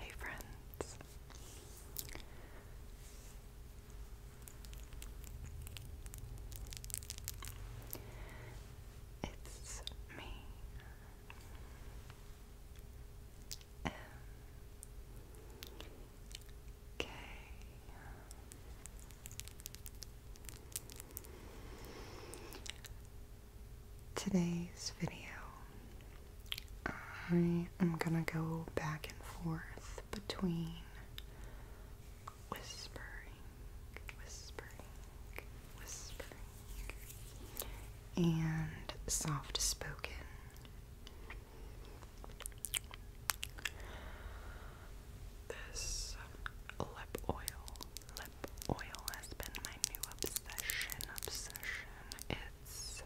Hey friends, it's me. okay. Today's video I am gonna go back and forth between whispering, whispering, whispering, and soft spoken. This lip oil, lip oil has been my new obsession. Obsession Pets,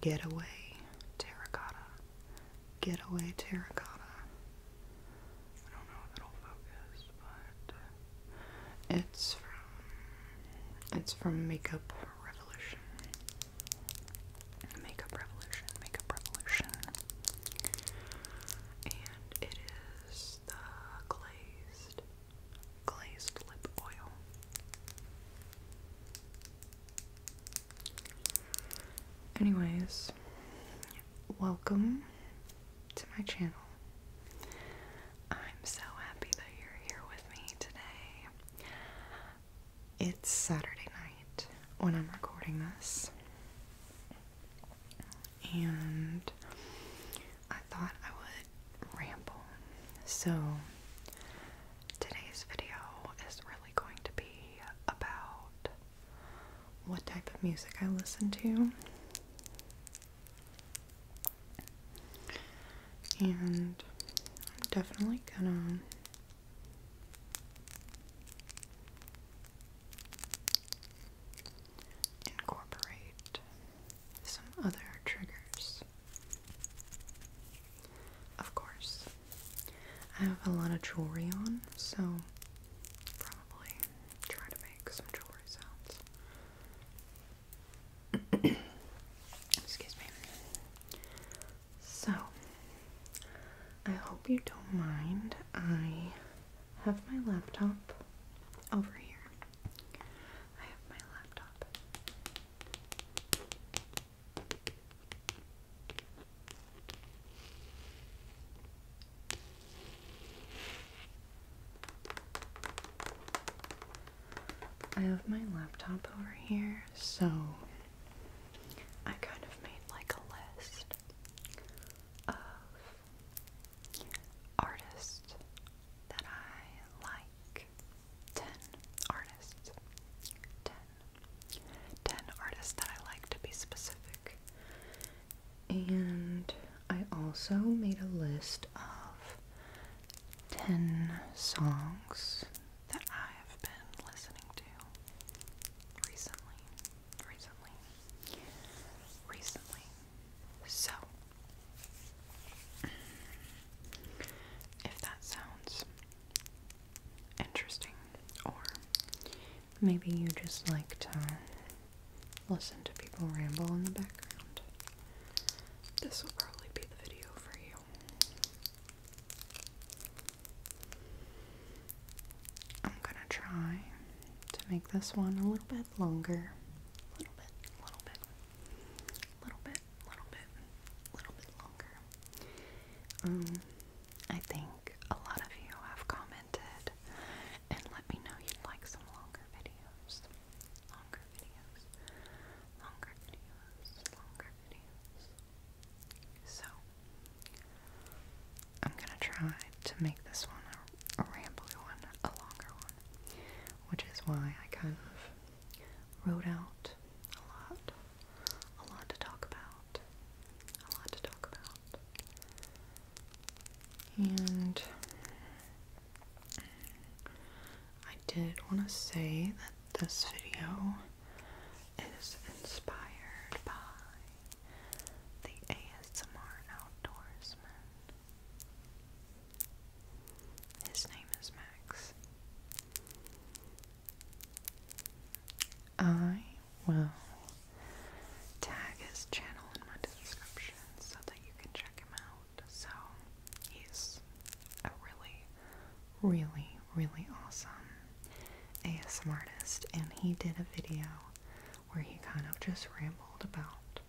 Getaway Terracotta, Getaway Terracotta. I don't know if it'll focus, but it's from it's from Makeup Revolution. Makeup Revolution, Makeup Revolution. And it is the glazed glazed lip oil. Anyways, welcome to my channel. I'm so happy that you're here with me today. It's Saturday night when I'm recording this, and I thought I would ramble. So, Today's video is really going to be about what type of music I listen to. And I'm definitely gonna incorporate some other triggers of course. I have a lot of jewelry on, so probably try to make some jewelry sounds. Excuse me. So, I hope you don't mind. I have my laptop over here. I have my laptop. I have my laptop over here, so I kind of made like a list of artists that I like 10 artists. 10. 10 artists that I like to be specific. And I also made a list of 10 songs that I've been listening to recently. Recently. Recently. So, if that sounds interesting. Or maybe you just like to listen to people ramble in the background. This will probably be the video for you. I'm gonna try to make this one a little bit longer. A little bit, a little bit a little bit, little bit, little bit longer. Um, I think a lot of you have commented and let me know you'd like some longer videos, longer videos, longer videos, longer videos. So I'm gonna try to make this one a, a one, a longer one, which is why I kind of wrote out a lot, a lot to talk about, a lot to talk about. And I did want to say that this video is inspired by the ASMR outdoorsman. His name is Max. I will tag his channel in my description so that you can check him out. So he's a really, really, really awesome ASM artist, and he did a video where he kind of just rambled about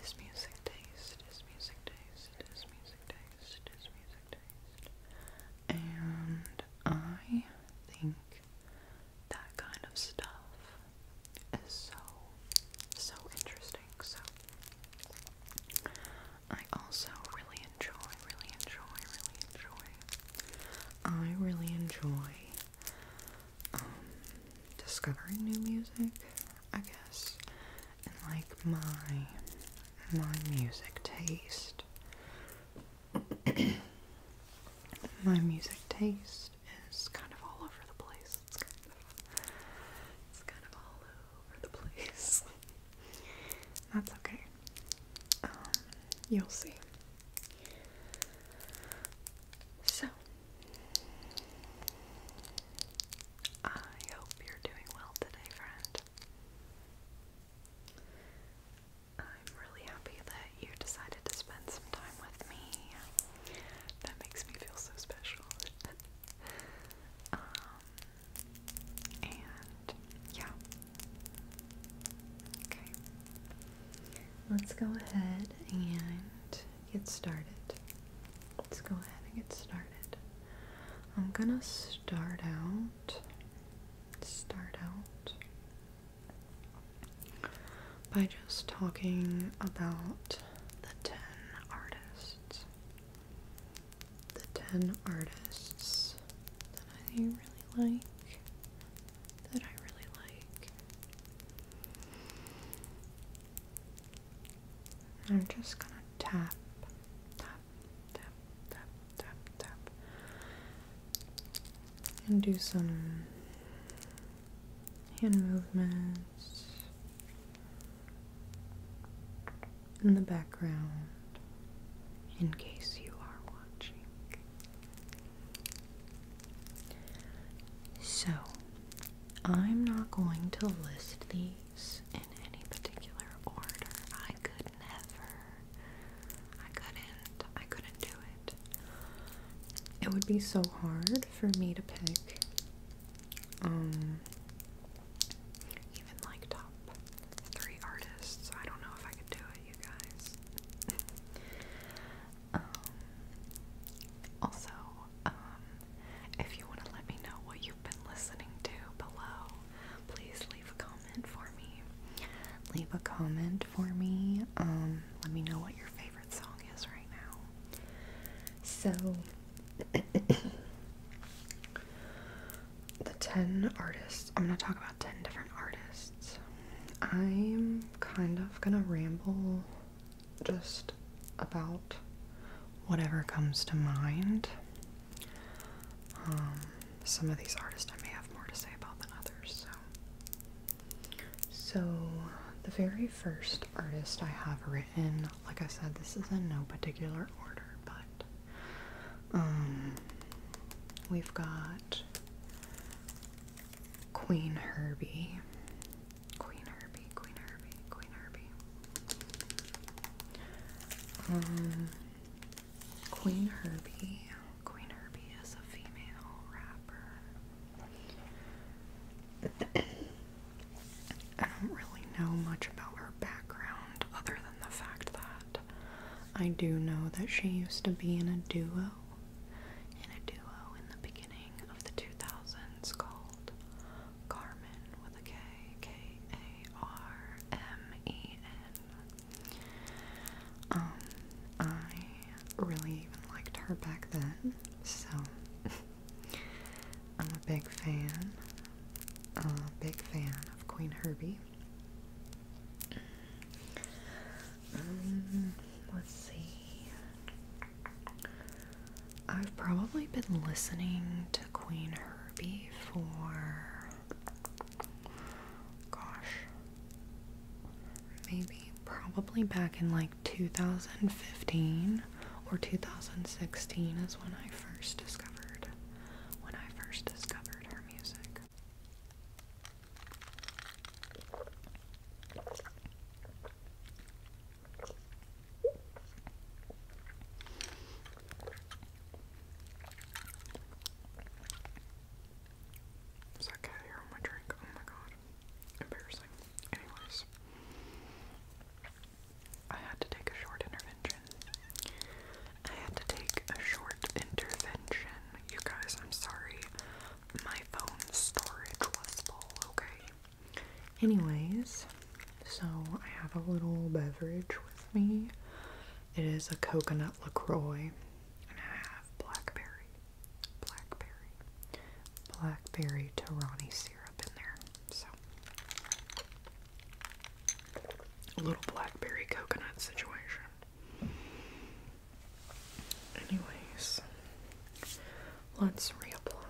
his music taste, his music taste, his music taste, his music taste. And I think that kind of stuff is so, so interesting. So, I also really enjoy, really enjoy, really enjoy. I really enjoy um, discovering new music, I guess and like my my music taste. my music taste is kind of all over the place. It's kind of it's kind of all over the place. That's okay. Um, you'll see. So, I hope you're doing well today, friend. I'm really happy that you decided to spend some time with me. That makes me feel so special. Um, and yeah. Okay. Let's go ahead and get started. Let's go ahead and get started. I'm gonna start out start out by just talking about the 10 artists. The 10 artists that I really like. That I really like. I'm just gonna tap, tap, tap, tap, tap, tap. And do some hand movements in the background in case you are watching. So, I'm not going to list these in any particular order. I could never. I couldn't. I couldn't do it. It would be so hard for me to pick um even like top three artists. I don't know if I could do it, you guys. Um, also, um, if you want to let me know what been listening to below. Please leave a comment for me. Leave a comment for me. Um, let me know what your favorite song is right now. So, the 10 artists. I'm going to talk about 10 different artists. I'm kind of going to ramble just about whatever comes to mind. Um, some of these artists I may have more to say about than others. So, the very first artist I have written, like I said, this is in no particular order, but um, we've got Queen Herbie. Queen Herbie, Queen Herbie, Queen Herbie. Um, Queen Herbie. Queen Herbie is a female rapper. I don't really know much about her background other than the fact that I do know that she used to be in a duo. In a duo in the beginning of the 2000s called Carmen with a K, K A R M E N. Um, I really even liked her back then, so I'm a big fan, a big fan of Queen Herbie. Um, let's see. I've probably been listening to Queen Herbie before. Gosh. Maybe, probably back in like 2015 or 2016 is when I first discovered when I first discovered her music. Is that cat hair drink? Oh my god. Embarrassing. Anyways. I had to take a short intervention. I had to take a short intervention. You guys, I'm sorry. My phone storage was full, okay? Anyways, so I have a little beverage with me. It is a coconut LaCroix. And I have blackberry, blackberry, blackberry Tarani syrup in there. So a little blackberry coconut situation. Anyways, let's reapply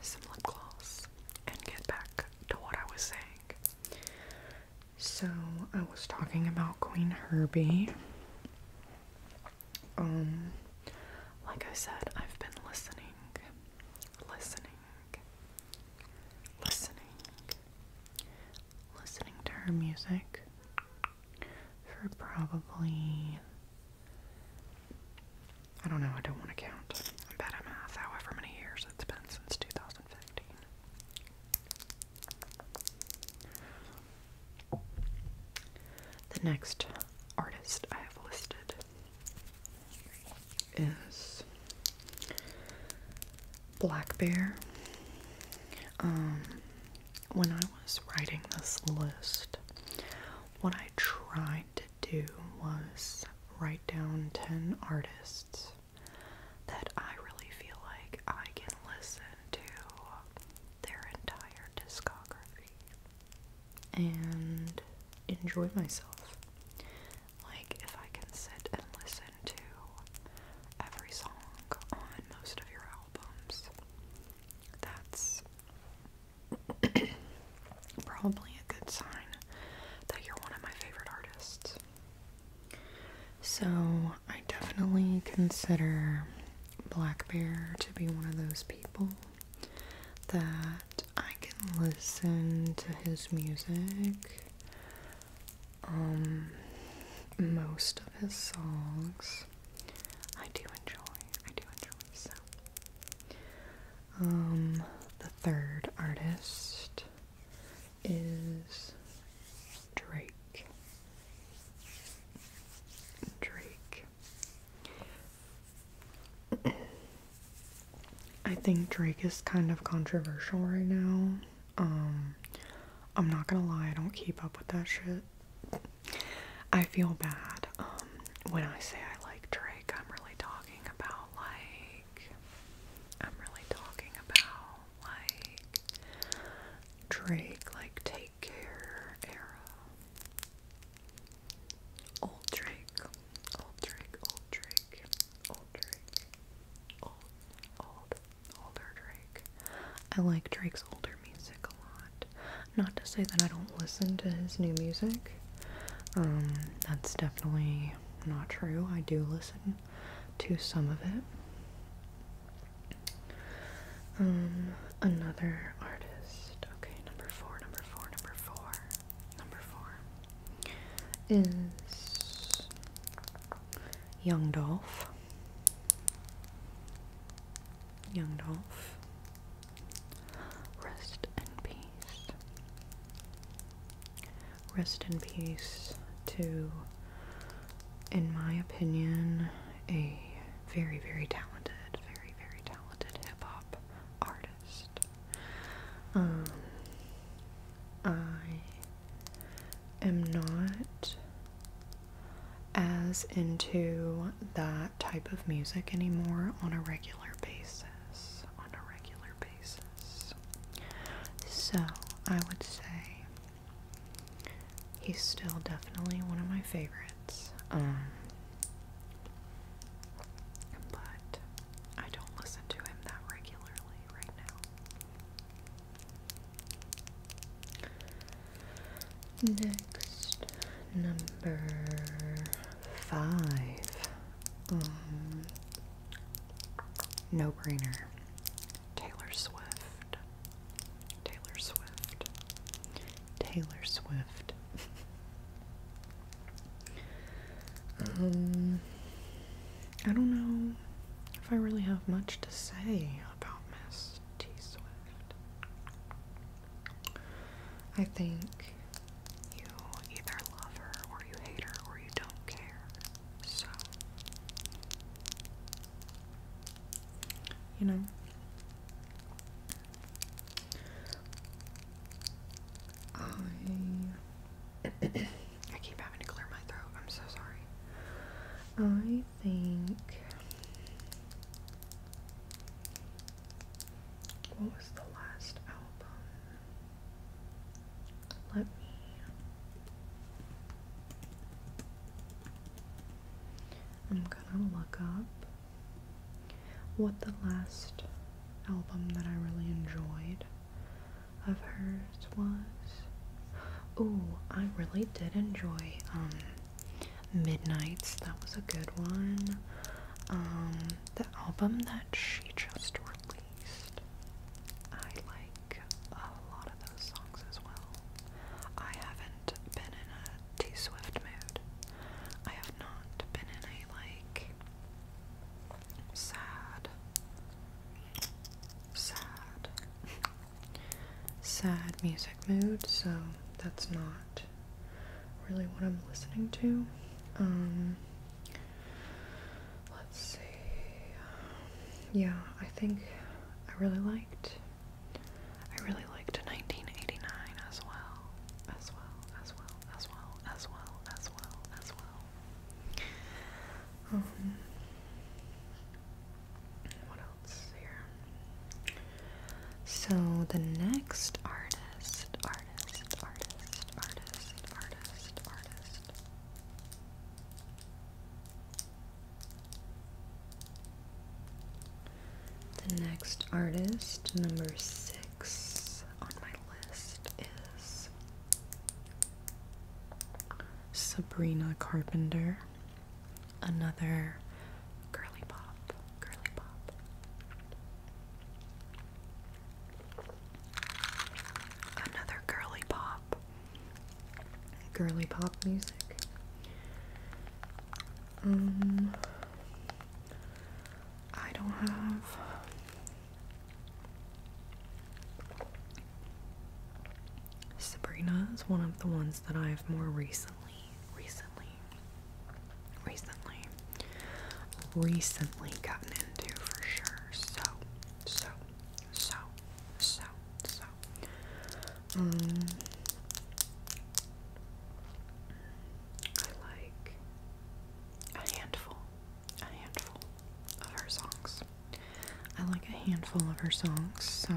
some lip gloss and get back to what I was saying so I was talking about Queen Herbie. Um like I said, I've been listening, listening, listening, listening to her music for probably I don't know, I don't want to count. I'm bad at math, however many years it's been since 2015. The next artist I have listed is Blackbear. Um, when I was writing this list, what I tried to do was write down 10 artists that I really feel like I can listen to their entire discography and enjoy myself. Like, if I can sit and listen to every song on most of your albums, that's probably a good sign that you're one of my favorite artists. So, I definitely consider Blackbear to be one of those people that I can listen to his music, um, most of his songs. I do enjoy, I do enjoy, so um, the third artist is Drake. Drake. I think Drake is kind of controversial right now. Um, I'm not gonna lie, I don't keep up with that shit. I feel bad. Um, when I say I like Drake, I'm really talking about like I'm really talking about like Drake, like Take Care era. Old Drake, old Drake, old Drake, old Drake, old, old, older Drake. I like Drake's older music a lot. Not to say that I don't listen to his new music, um, that's definitely not true. I do listen to some of it. Um, another artist. Okay, number four, number four, number four, number four is Young Dolph. Young Dolph. Rest in peace. Rest in peace to, in my opinion, a very, very talented, very, very talented hip hop artist. Um, I am not as into that type of music anymore on a regular basis. On a regular basis. So I would say he's still definitely one of my favorites. Um, but I don't listen to him that regularly right now. Next, number five. Um, no brainer. Taylor Swift. Taylor Swift. Taylor Swift. um, I don't know if I really have much to say about Miss T Swift. I think you either love her or you hate her or you don't care. So, you know, I I keep having to clear my throat. I'm so sorry. I think what was the last album? Let me I'm gonna look up what the last album that I really enjoyed of hers was. Ooh, I really did enjoy um Midnights. That was a good one. Um the album that she just released. I like a lot of those songs as well. I haven't been in a T Swift mood. I have not been in a like sad, sad, sad music mood, so that's not really what I'm listening to. Um, Let's see. Um, yeah, I think I really liked. I really liked 1989 as well, as well, as well, as well, as well, as well, as well. Um, what else here? So the next artist, the next artist, number six on my list, is Sabrina Carpenter, another curly curly pop. Another girly pop. Girly pop music. Um, I don't have. Sabrina is one of the ones that I've more recently, recently, recently recently gotten into for sure. So, so, so, so, so. Um, I like a handful, a handful of her songs. I like a handful of her songs, so.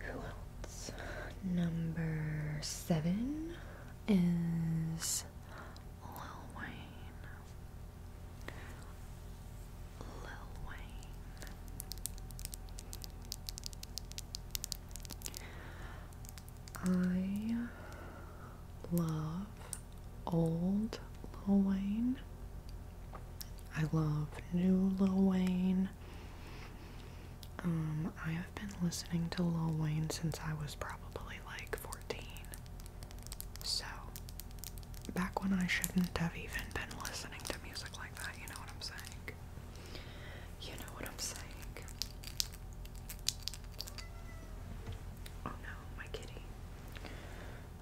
Who else? Number seven is Lil Wayne. Lil Wayne. I love old Lil Wayne. I love new Lil Wayne. Um, I have been listening to Lil Wayne since I was probably like 14. So, back when I shouldn't have even been listening to music like that, you know what I'm saying? You know what I'm saying? Oh no, my kitty.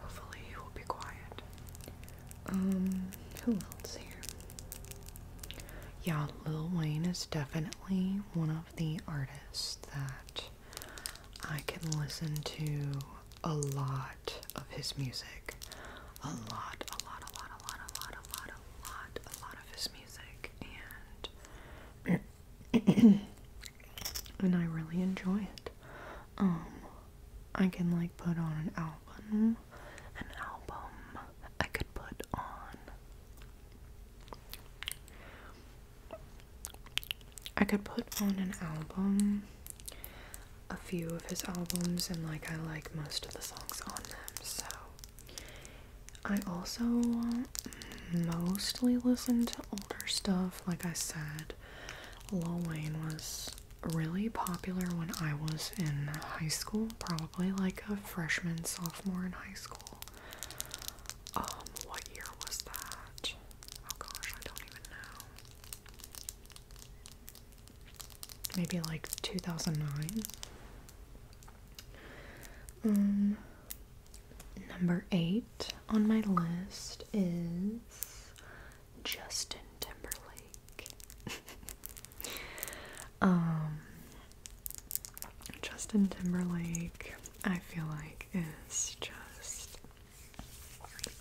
Hopefully he will be quiet. Um, who else here? Yeah, Lil Wayne is definitely one of the artist that I can listen to a lot of his music. A lot, a lot, a lot, a lot, a lot, a lot, a lot, a lot of his music. And and I really enjoy it. Um I can like put on an album an album. I could put on I could put on an album, a few of his albums, and like I like most of the songs on them, so. I also mostly listen to older stuff, like I said. Lil Wayne was really popular when I was in high school, probably like a freshman, sophomore in high school. Um, what year was that? Oh gosh, I don't even know. Maybe like 2009. Um, number eight on my list is Justin Timberlake. Um, Justin Timberlake, I feel like, is just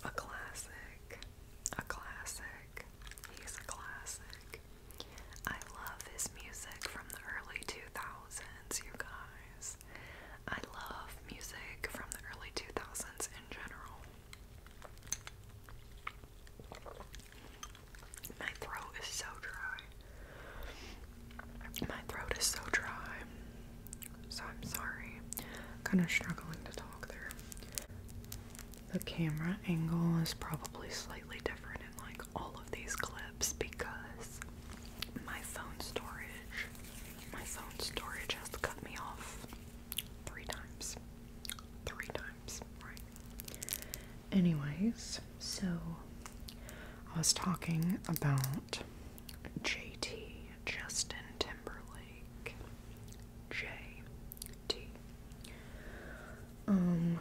a classic. A classic. He's a classic. I love his music from the early 2000s, you guys. I love music from the early 2000s in general. My throat is so dry. My throat is so dry. So I'm sorry. Kind of struggling to talk there. The camera angle is probably slightly different in like all of these clips because my phone storage, my phone storage has cut me off three times. Three times, right? anyways, so I was talking about JT, Justin Timberlake. JT. Um,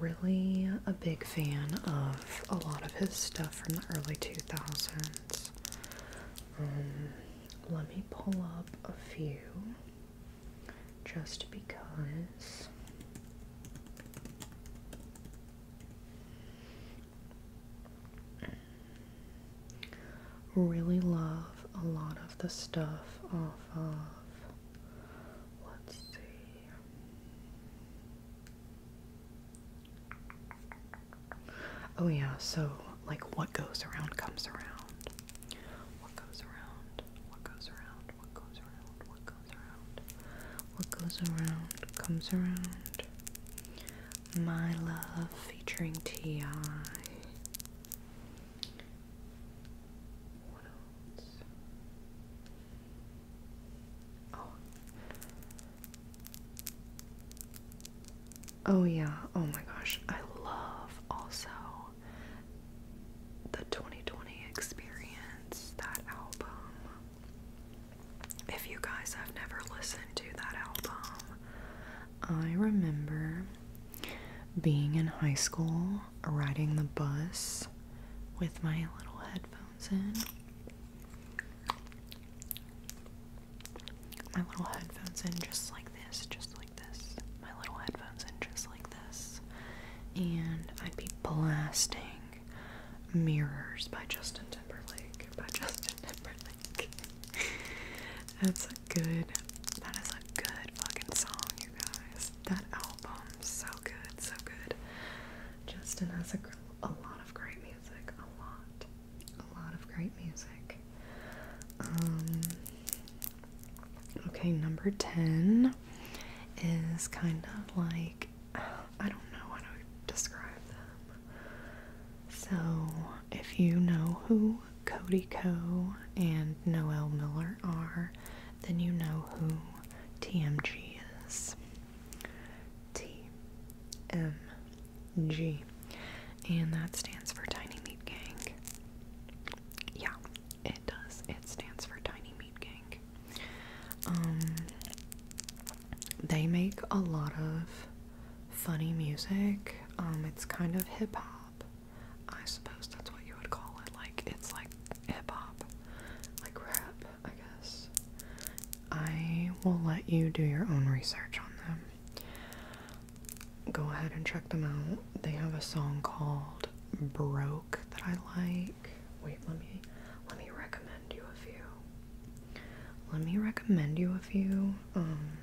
really a big fan of a lot of his stuff from the early 2000s. Um, let me pull up a few just because Really love a lot of the stuff off of, let's see. Oh, yeah, so like what goes around comes around. What goes around, what goes around, what goes around, what goes what goes around comes around. My Love featuring T.I. Oh. Oh, yeah. Oh my gosh. I love also the 2020 experience, that album. If you guys have never listened to that album, I remember being in high school riding the bus with my little headphones in. My little headphones in just like this, just like this. My little headphones in just like this. And I'd be blasting Mirrors by Justin Timberlake. By Justin Timberlake. That's a good, that is a good fucking song, you guys. That album, so good, so good. Justin has a, a lot of great music. A lot. A lot of great music. Um, okay, number 10 is kind of like I don't know how to describe them. So if you know who Cody Coe and Noel Miller are, then you know who TMG is. TMG. And that stands for Tiny Meat Gang. Yeah, it does. It stands for Tiny Meat Gang. Um, they make a lot of funny music. Um, it's kind of hip hop. I suppose that's what you would call it. Like it's like hip hop, like rap, I guess. I will let you do your own research on them. Go ahead and check them out. They have a song called Bro that I like. Wait, let me let me recommend you a few. Let me recommend you a few. Um,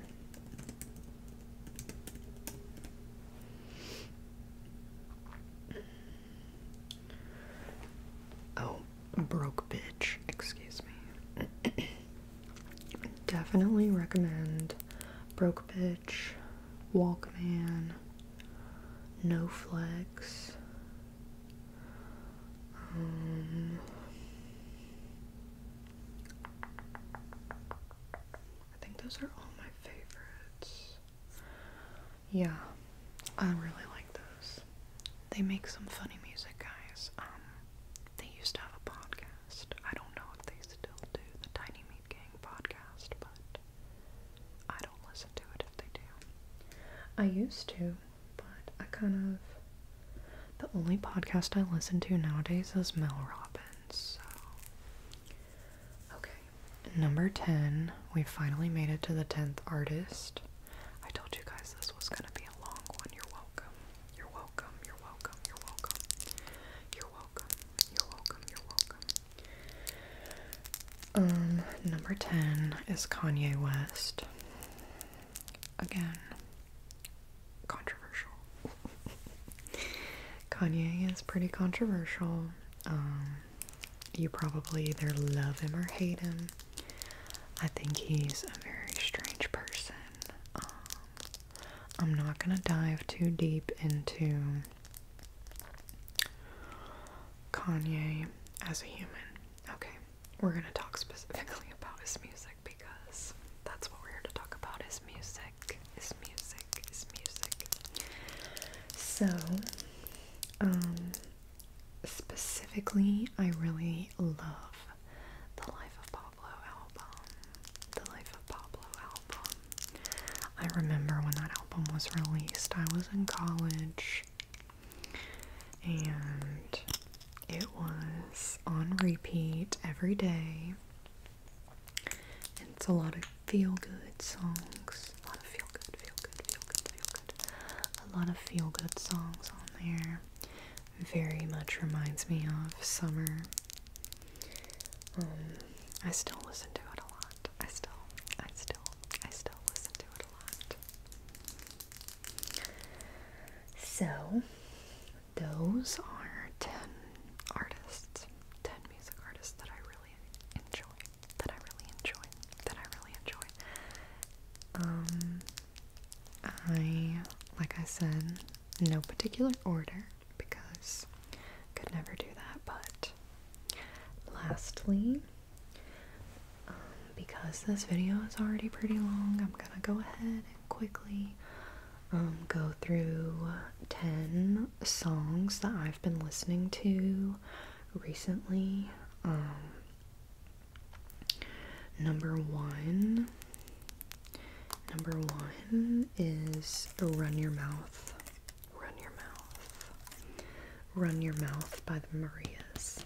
oh, broke bitch, excuse me. Definitely recommend Broke Bitch, Walkman, no flex. Um, I think those are all my favorites. Yeah, I really like those. They make some funny music, guys. Um, they used to have a podcast. I don't know if they still do the Tiny Meat Gang podcast, but I don't listen to it if they do. I used to, but I kind of. The only podcast I listen to nowadays is Mel Robbins, so. Okay. Number 10, we finally made it to the 10th artist. I told you guys this was gonna be a long one. You're welcome. You're welcome. You're welcome. You're welcome. You're welcome. You're welcome. You're welcome. Um, number 10 is Kanye West. Again, controversial. Kanye is pretty controversial. Um, you probably either love him or hate him. I think he's a very strange person. Um, I'm not gonna dive too deep into Kanye as a human. Okay, we're gonna talk specifically about his music because that's what we're here to talk about his music. His music, his music. So, um, specifically, I really love the Life of Pablo album. The Life of Pablo album. I remember when that album was released, I was in college and it was on repeat every day. It's a lot of feel good songs. A lot of feel good, feel good, feel good, feel good. A lot of feel good songs on there. Very much reminds me of summer. Um, I still listen to it a lot. I still, I still, I still listen to it a lot. So, those are 10 artists, 10 music artists that I really enjoy, that I really enjoy, that I really enjoy. Um, I, like I said, no particular order because I could never do that, but Lastly, um, because this video is already pretty long, I'm gonna go ahead and quickly um, go through 10 songs that I've been listening to recently. Um, number one, number one is Run Your Mouth Run Your Mouth. Run Your Mouth by the Marias.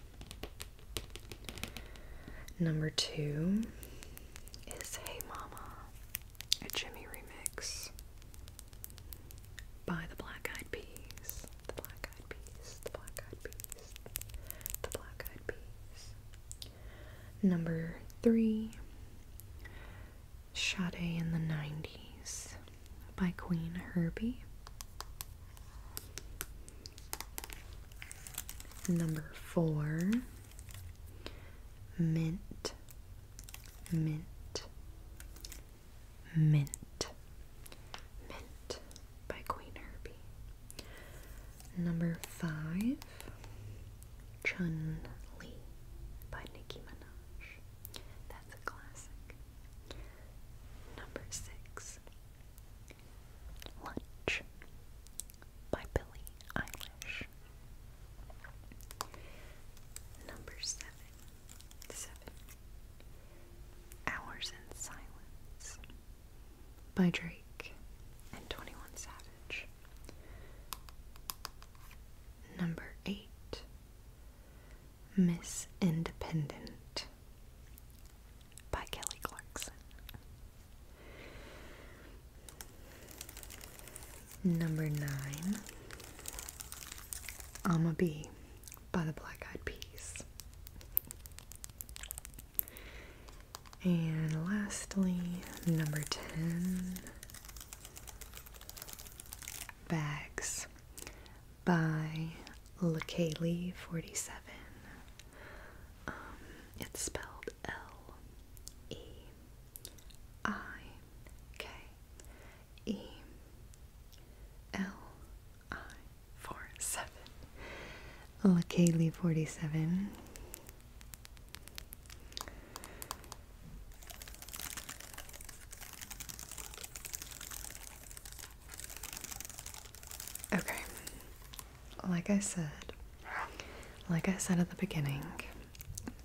Number two is Hey Mama, a Jimmy remix by the Black Eyed Peas. The Black Eyed Peas, the Black Eyed Peas, the Black Eyed Peas. Number three Sade in the 90s by Queen Herbie. Number four, mint, mint, mint, mint by Queen Herbie. Number five, Chun Li by Nicki Minaj. That's a classic. Number six Lunch by Billy Eilish. Number seven. Seven. Hours in Silence by Drake and 21 Savage. Number eight. Miss Independent by Kelly Clarkson. Number nine, I'm a Bee by the Black Eyed Peas. And lastly, number 10, Bags by LaKaylee 47. Um, it's spelled L E I K E L I 47. LaKaylee 47. Okay. Like I said, like I said at the beginning,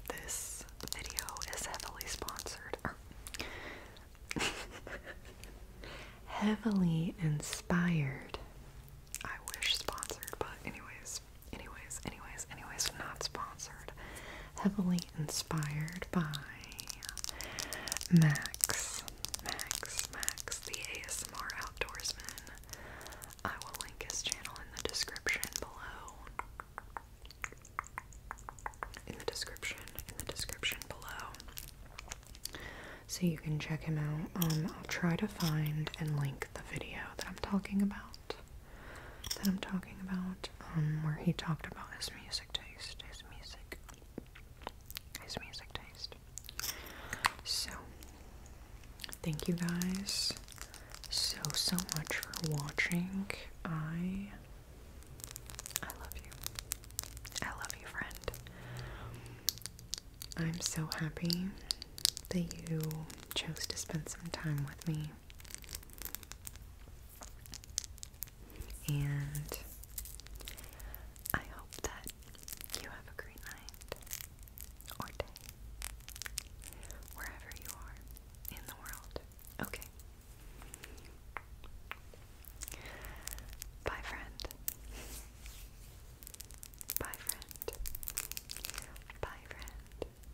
this video is heavily sponsored. heavily inspired. I wish sponsored, but anyways, anyways, anyways, anyways, not sponsored heavily inspired by Max, Max, Max, the ASMR outdoorsman. I will link his channel in the description below. In the description, in the description below. So you can check him out. Um, I'll try to find and link the video that I'm talking about. That I'm talking about, um, where he talked about his music taste, his music, his music taste. So, thank you guys so, so much for watching. I, I love you. I love you, friend. I'm so happy that you chose to spend some time with me. And I hope that you have a great night or day wherever you are in the world. Okay. Bye, friend. Bye, friend. Bye, friend.